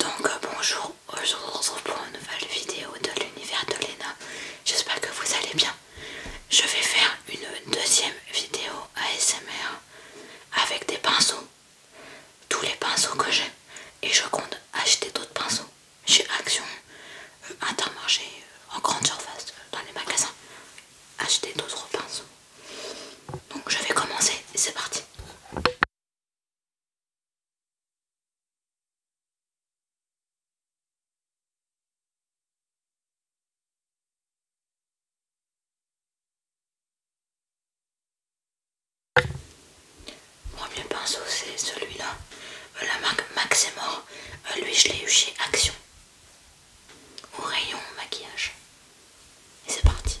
Donc euh, bonjour, aujourd'hui on se retrouve pour une nouvelle vidéo de l'univers de Lena. J'espère que vous allez bien. Je vais faire une deuxième vidéo ASMR avec des pinceaux. Tous les pinceaux que j'ai. Et je compte acheter d'autres pinceaux chez Action, euh, Intermarché, euh, en grande surface, dans les magasins. Acheter d'autres pinceaux. Donc je vais commencer, et c'est parti. Le premier pinceau c'est celui-là, euh, la marque Max mort. Euh, lui je l'ai eu chez Action, au rayon maquillage. Et c'est parti,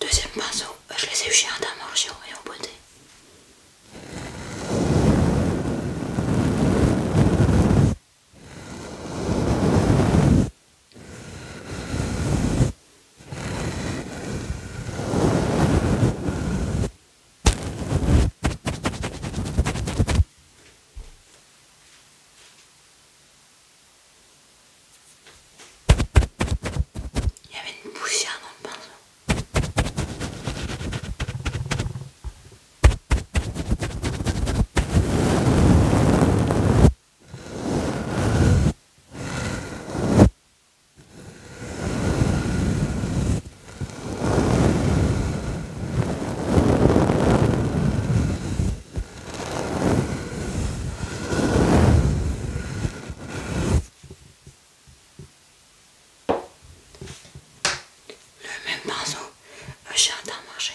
Deuxième pinceau, euh, je les ai eu d'un morceau et en beauté. Il y avait une poussière dans le pinceau. Le même pinceau, j'ai jardin marché.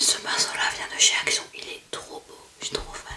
Ce pinceau là vient de chez Action, il est trop beau, je suis trop fan.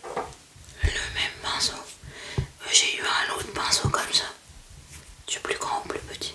Le même pinceau. J'ai eu un autre pinceau comme ça. Du plus grand au plus petit.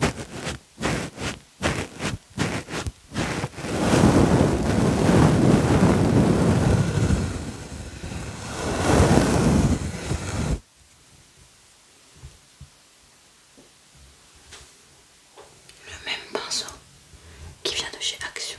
Le même pinceau qui vient de chez Action.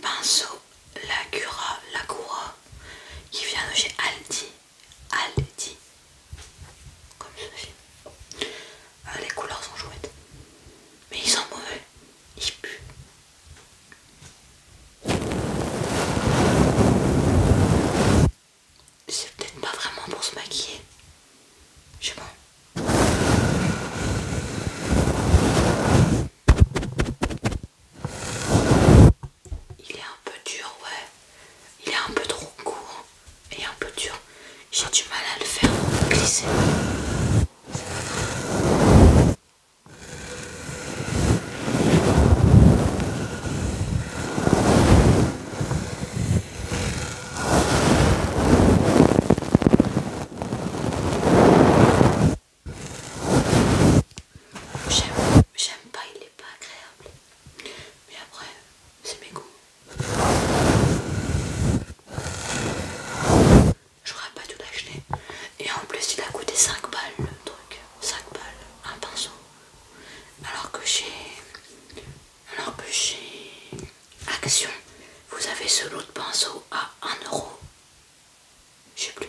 Pinceau, la cura, la cura, qui vient de chez Aldi dit comme ce film. Ah, les couleurs sont chouettes, mais ils sont mauvais, ils puent. C'est peut-être pas vraiment pour se maquiller, je sais pas. Il est un peu dur, ouais. Il est un peu trop court hein. et un peu dur. J'ai du mal à le faire glisser. J'aime pas, il n'est pas agréable. Mais après, c'est mes goûts. J'aurais pas tout acheté. Et en plus, il a coûté 5 balles le truc. 5 balles, un pinceau. Alors que chez. Alors que chez Action, vous avez ce lot de pinceaux à 1€. Je sais plus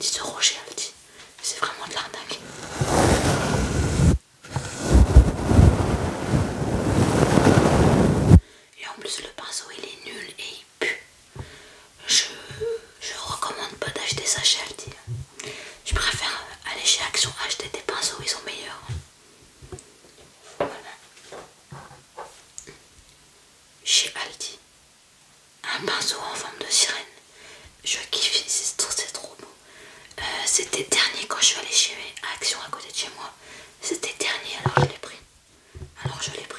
10 euros chez Aldi. C'est vraiment de l'arnaque. Et en plus le pinceau il est nul et il pue. Je, je recommande pas d'acheter ça chez Aldi. Je préfère aller chez Action acheter des pinceaux, ils sont meilleurs. Chez Aldi, un pinceau en forme de sirène. Je kiffe, c'est trop beau. Euh, c'était dernier quand je suis allée chez Action à côté de chez moi. C'était dernier, alors je l'ai pris. Alors je l'ai pris.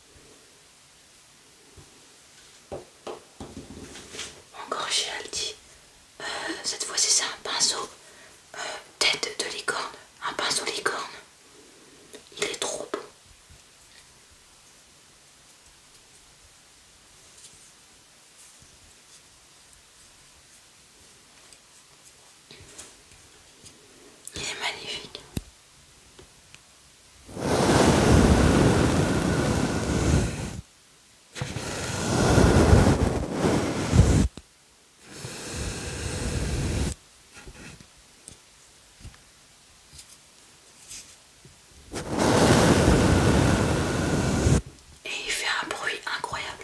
Encore chez Aldi. Euh, cette fois-ci c'est un pinceau euh, tête de licorne. Un pinceau licorne. Il est trop beau. Il est magnifique. Et il fait un bruit incroyable.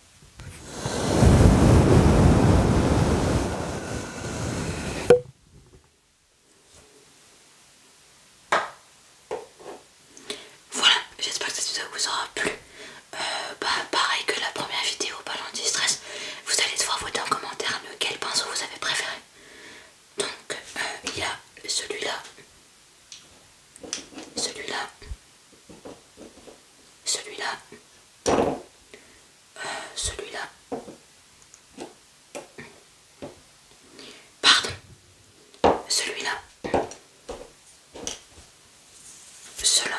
Voilà, j'espère que cette vidéo vous aura plu. Euh, bah, pareil que la première vidéo ballon de stress, vous allez devoir voter en commentaire lequel pinceau vous avez préféré. Donc, euh, il y a celui-là, celui-là, celui-là, celui-là. Pardon, celui-là. Cela.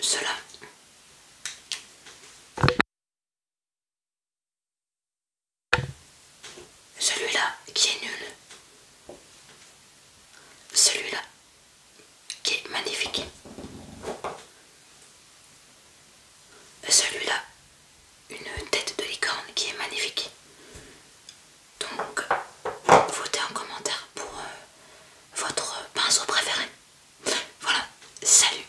Cela. Celui-là qui est nul. Celui-là qui est magnifique. Celui-là, une tête de licorne qui est magnifique. Donc, votez en commentaire pour euh, votre pinceau préféré. Voilà, salut